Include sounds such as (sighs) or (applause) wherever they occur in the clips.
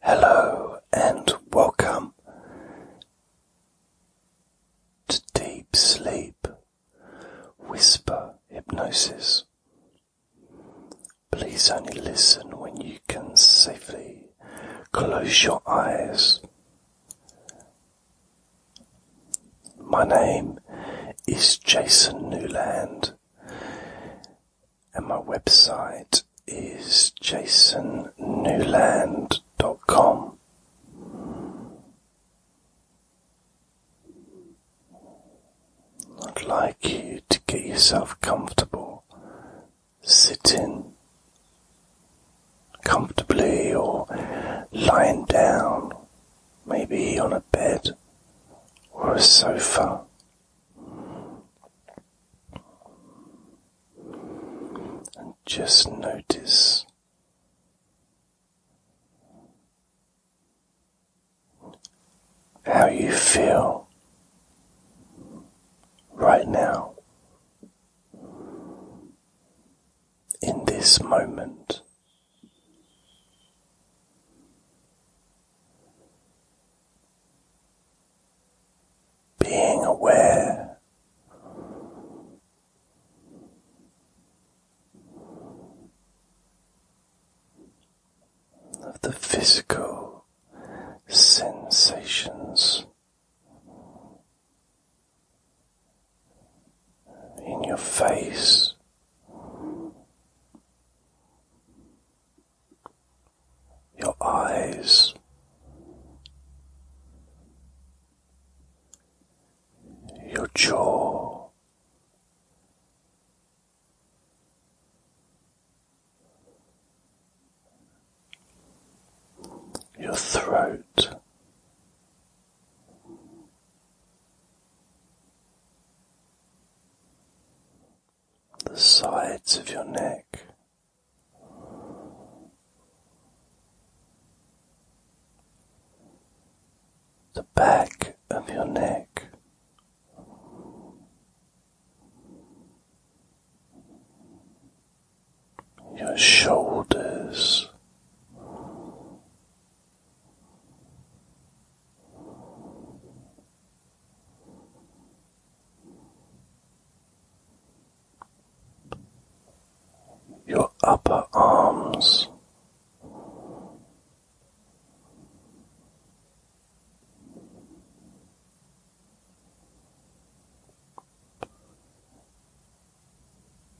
Hello and welcome to Deep Sleep Whisper Hypnosis. Please only listen when you can safely close your eyes. My name is Jason Newland and my website is jasonnewland.com. I'd like you to get yourself comfortable sitting comfortably or lying down, maybe on a bed or a sofa and just notice how you feel right now in this moment being aware of the physical sensations in your face your eyes, your jaw, your throat the sides of your neck. The back of your neck, your shoulders, your upper arms.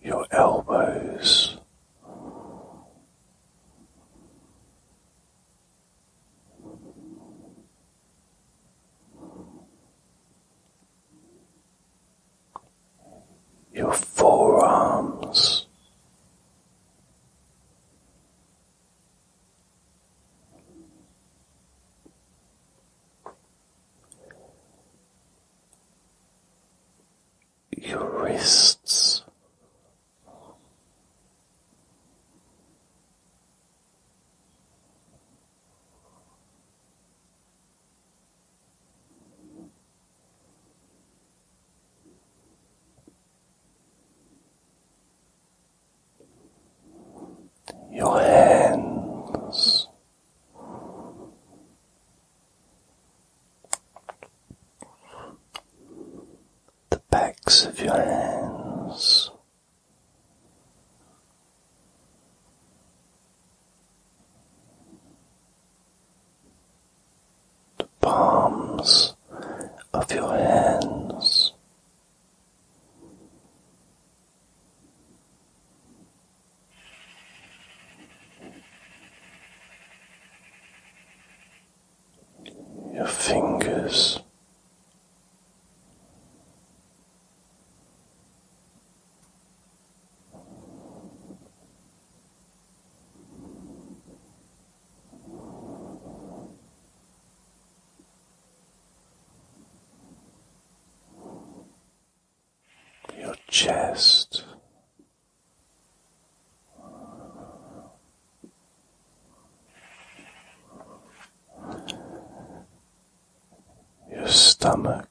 Your elbows, your forearms, your wrists. Your hands the backs of your hands the palms of your hands your fingers. Your chest, your stomach.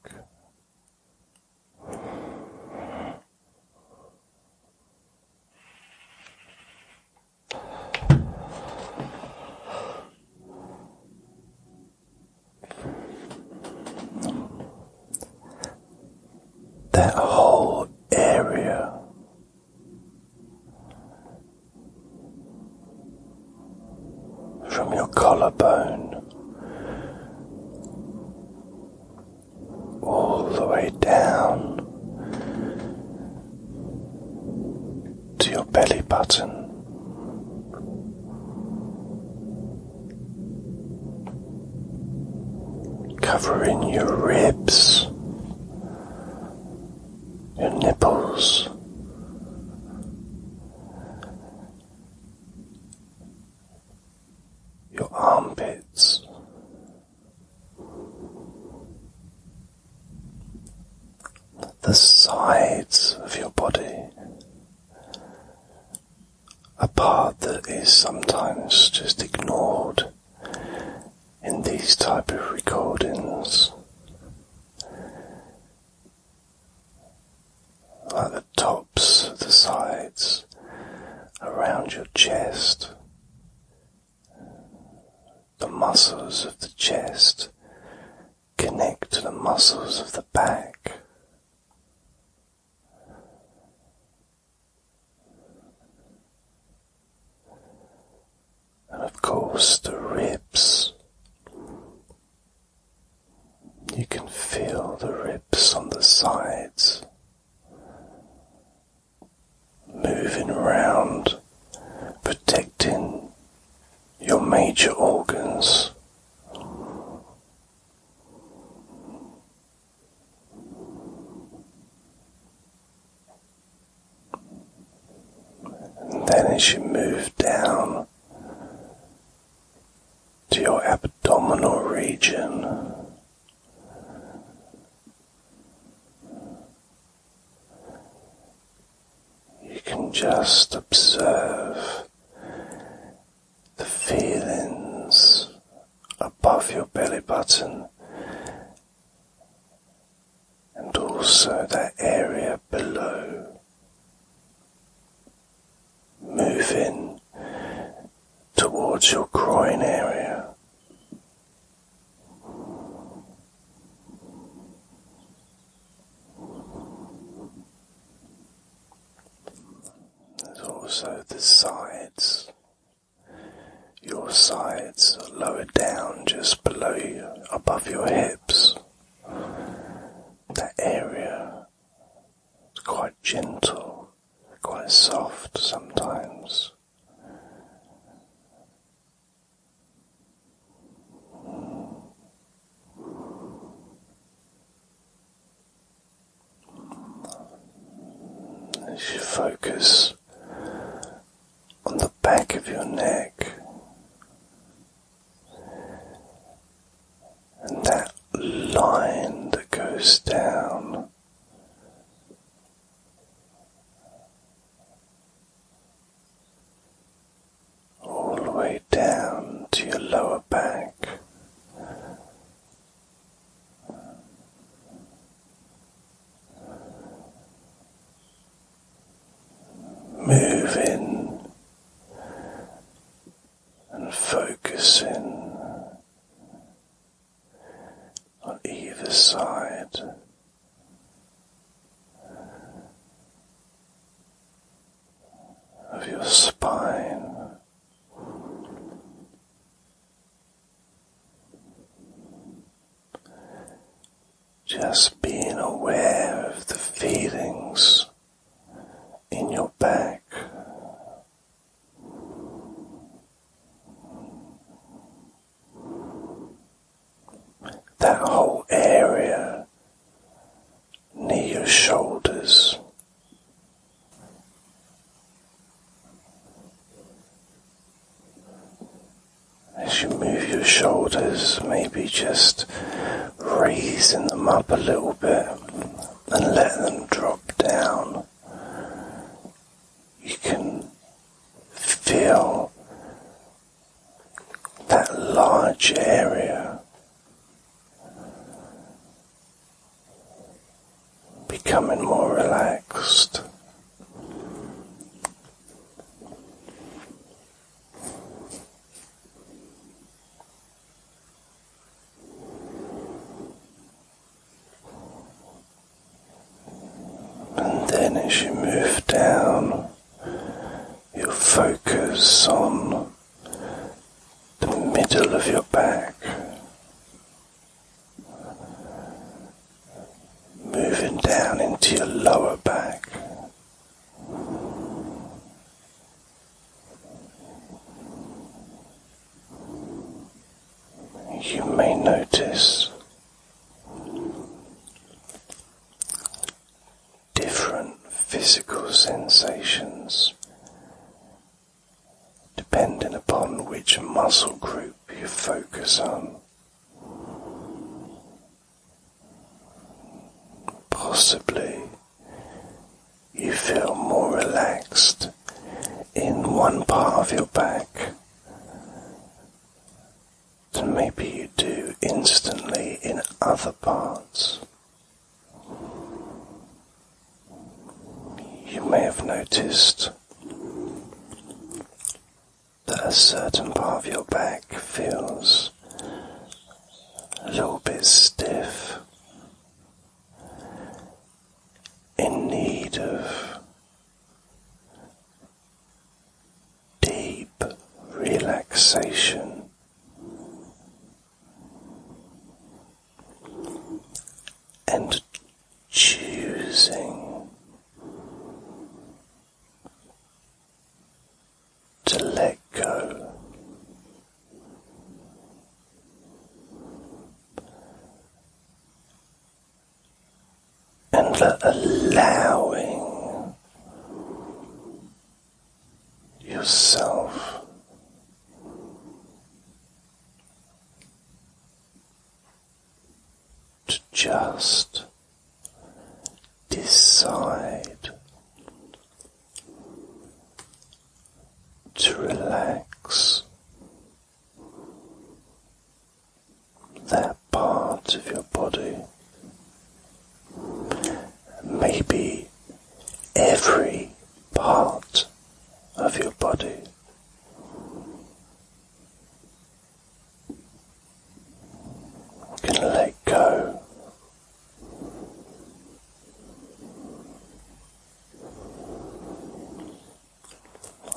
That whole area from your collarbone all the way down to your belly button. Covering your ribs your nipples. Your armpits, the sides of your body, a part that is sometimes just ignored in these type of recordings like the tops the sides around your chest the muscles of the chest connect to the muscles of the back and of course the ribs. You can feel the ribs on the sides moving around, protecting your major organs then as you move down to your abdominal region, you can just observe the feelings above your belly button and also that area below. Moving towards your groin area. There's also the sides your sides lower down just below you, above your hips. That area is quite gentle, quite soft sometimes. As you focus on the back of your neck, and that line that goes down. All the way down to your lower back moving and focusing on either side. Of your spine, just being aware of the feelings in your back. That whole area near your shoulders. As you move your shoulders, maybe just raising them up a little bit and let them drop down. You can feel that large area becoming more relaxed. And then, as you move down, you focus on the middle of your back, moving down into your lower back. You may notice different physical sensations depending upon which muscle group you focus on. Possibly you feel more relaxed in one part of your back than maybe you do instantly in other parts. You may have noticed that a certain part of your back feels a little bit stiff, in need of deep relaxation. And choosing to let go. And allowing yourself to just decide to relax that part of your body, maybe every part of your body can let go.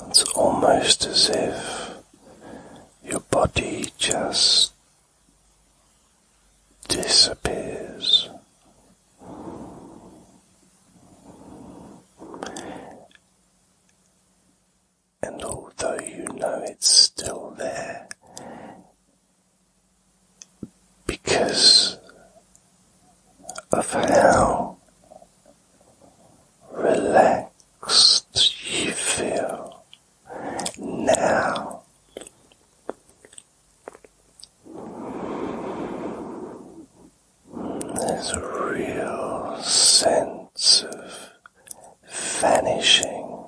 It's almost as if your body just disappears and although you know it's still there, because of how relaxed you feel now. There's a real sense of vanishing.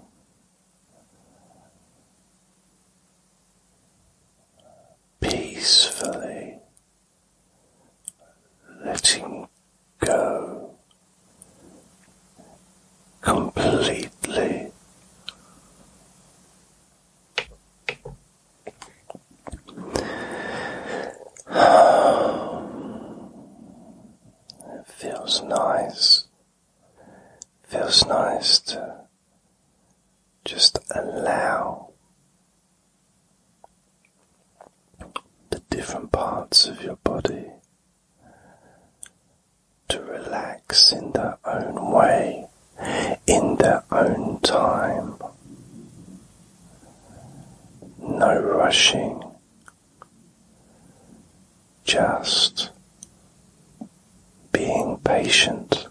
Peacefully letting go completely. (sighs) It feels nice. Feels nice to just allow the different parts of your body to relax in their own way, in their own time. No rushing, just being patient.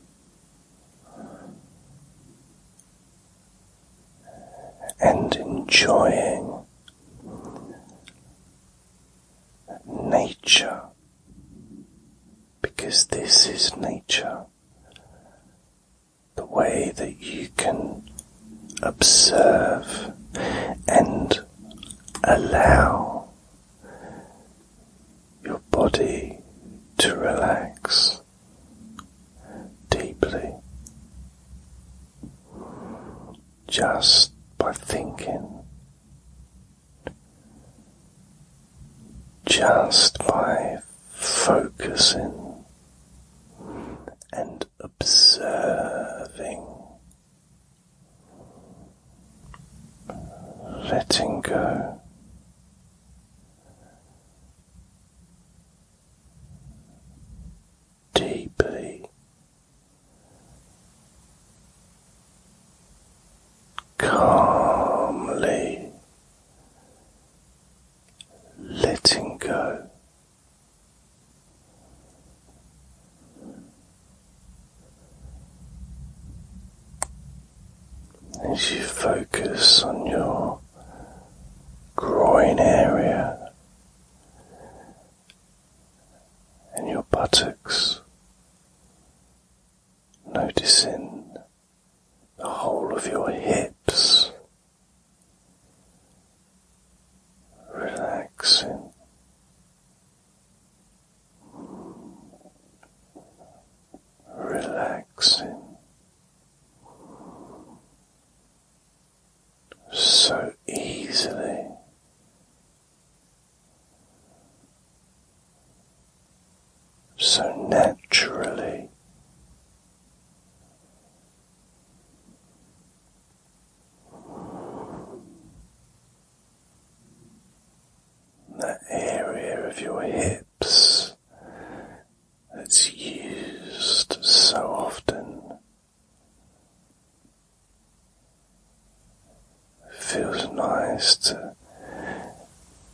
And enjoying nature because this is nature, the way that you can observe and allow your body to relax deeply just by thinking, just by focusing and observing, letting go. Deeply calmly letting go as you focus on your groin area and your buttocks, noticing the whole of your hips relaxing. Relaxing so easily, so naturally, that area of your hips that's used so often feels nice to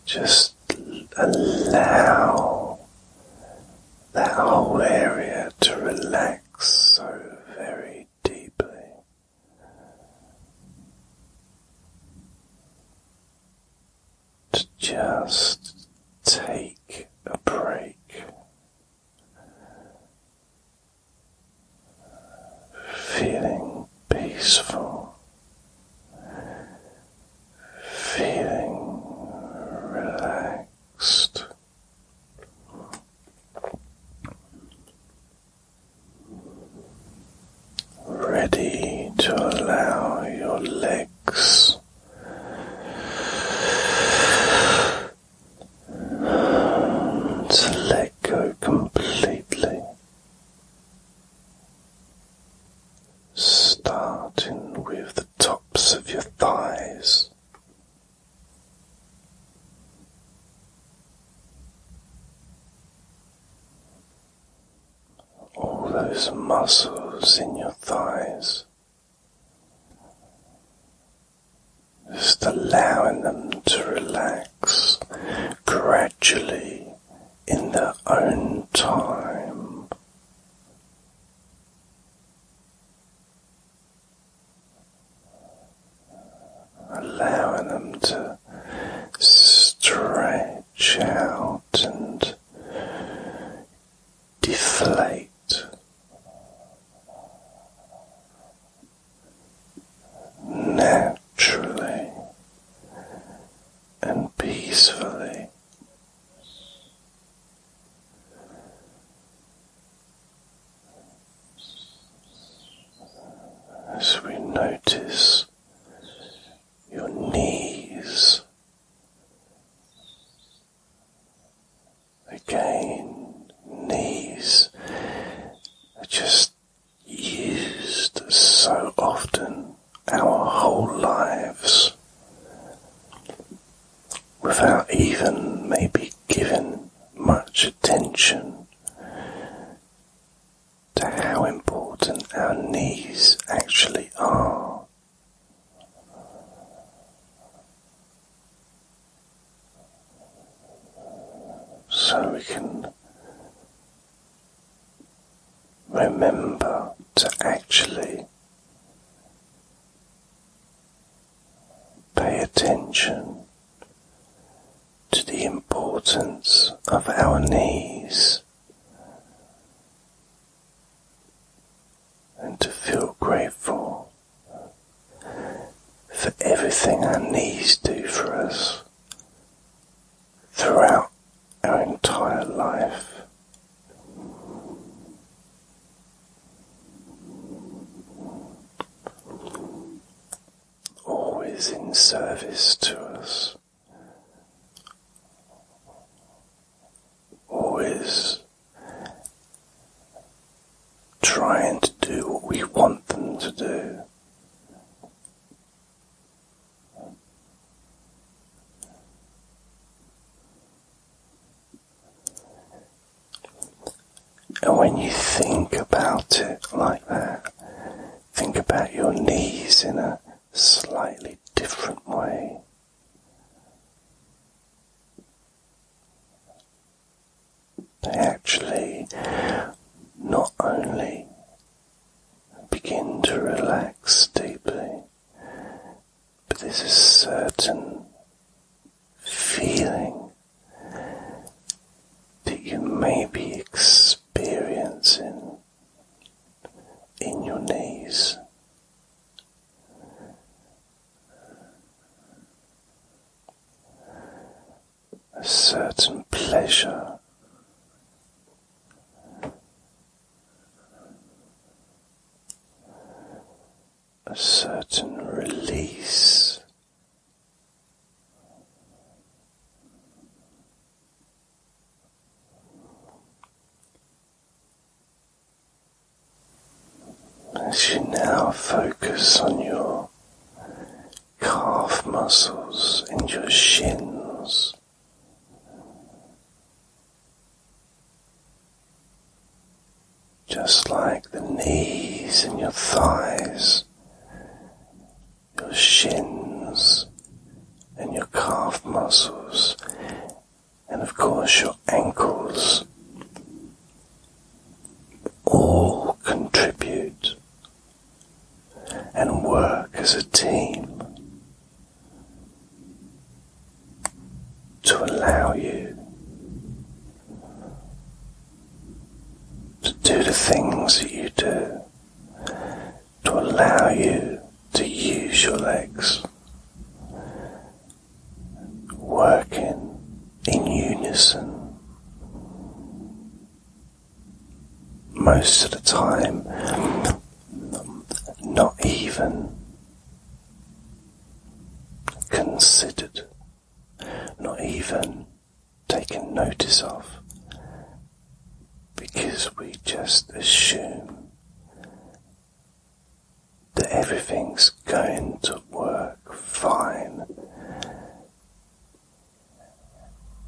just allow that whole area to relax so very deeply. To just take a break. Feeling peaceful, feeling relaxed. Ready to allow your legs to let go completely, starting with tops of your thighs. All those muscles in your thighs, just allowing them to relax gradually in their own time allowing them to stretch out and deflate. Naturally and peacefully as we notice your knees again, knees are just used so often our whole lives without even maybe giving much attention to how important our knees actually are. So we can remember to actually Pay attention to the importance of our knees and to feel grateful for everything our knees do for us throughout our entire life always in service to us, always trying to do what we want them to do. And when you think about it like that, think about your knees in a slightly different way. They actually not only begin to relax deeply, but there's a certain feeling that you may be experiencing in your knees. A certain pleasure, a certain release. As you now focus on your calf muscles and your shins, just like the knees and your thighs, your shins and your calf muscles, and of course your ankles all contribute and work as a team to allow you to do the things that you do, to allow you to use your legs, working in unison. Most of the time, not even considered, not even taken notice of, because we just assume that everything's going to work fine.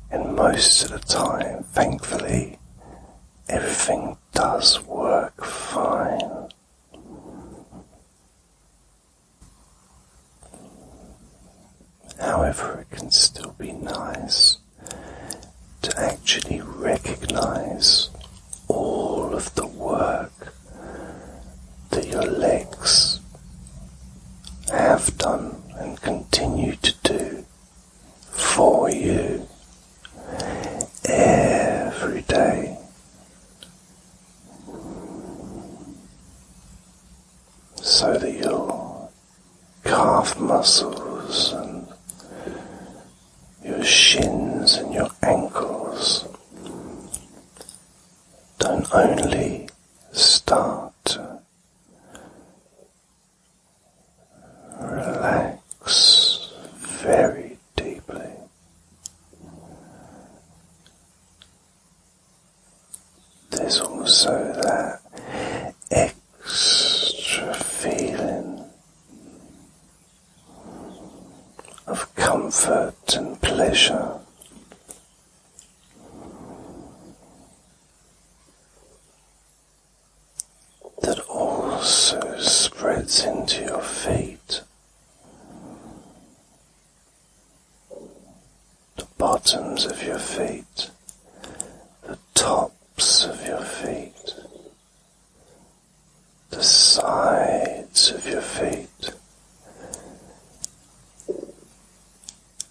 And most of the time, thankfully, everything does work fine. However, it can still be nice to actually recognize all of the work that your legs have done and continue to do for you every day. So that your calf muscles and your shins and your ankles don't only start to relax very deeply. There's also that extra feeling of comfort and pleasure that also spreads into your feet, the bottoms of your feet, the tops of your feet, the sides of your feet,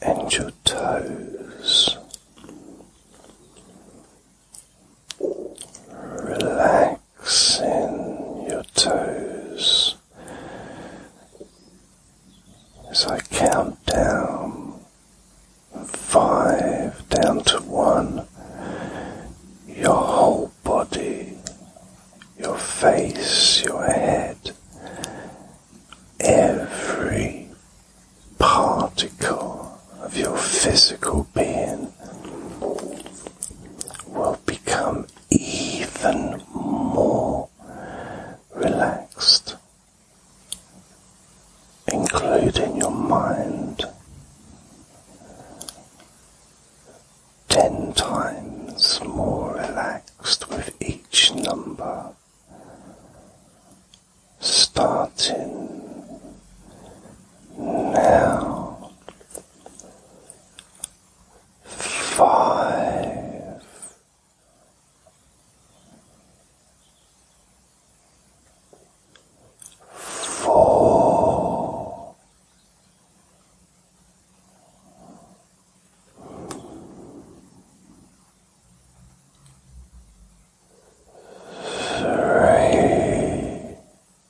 and your toes relaxing your toes as I count down five down to one, your whole body, your face, your head, every particle of your physical being will become even more relaxed, including your mind. Ten times more relaxed with each number, starting now, five, four, three.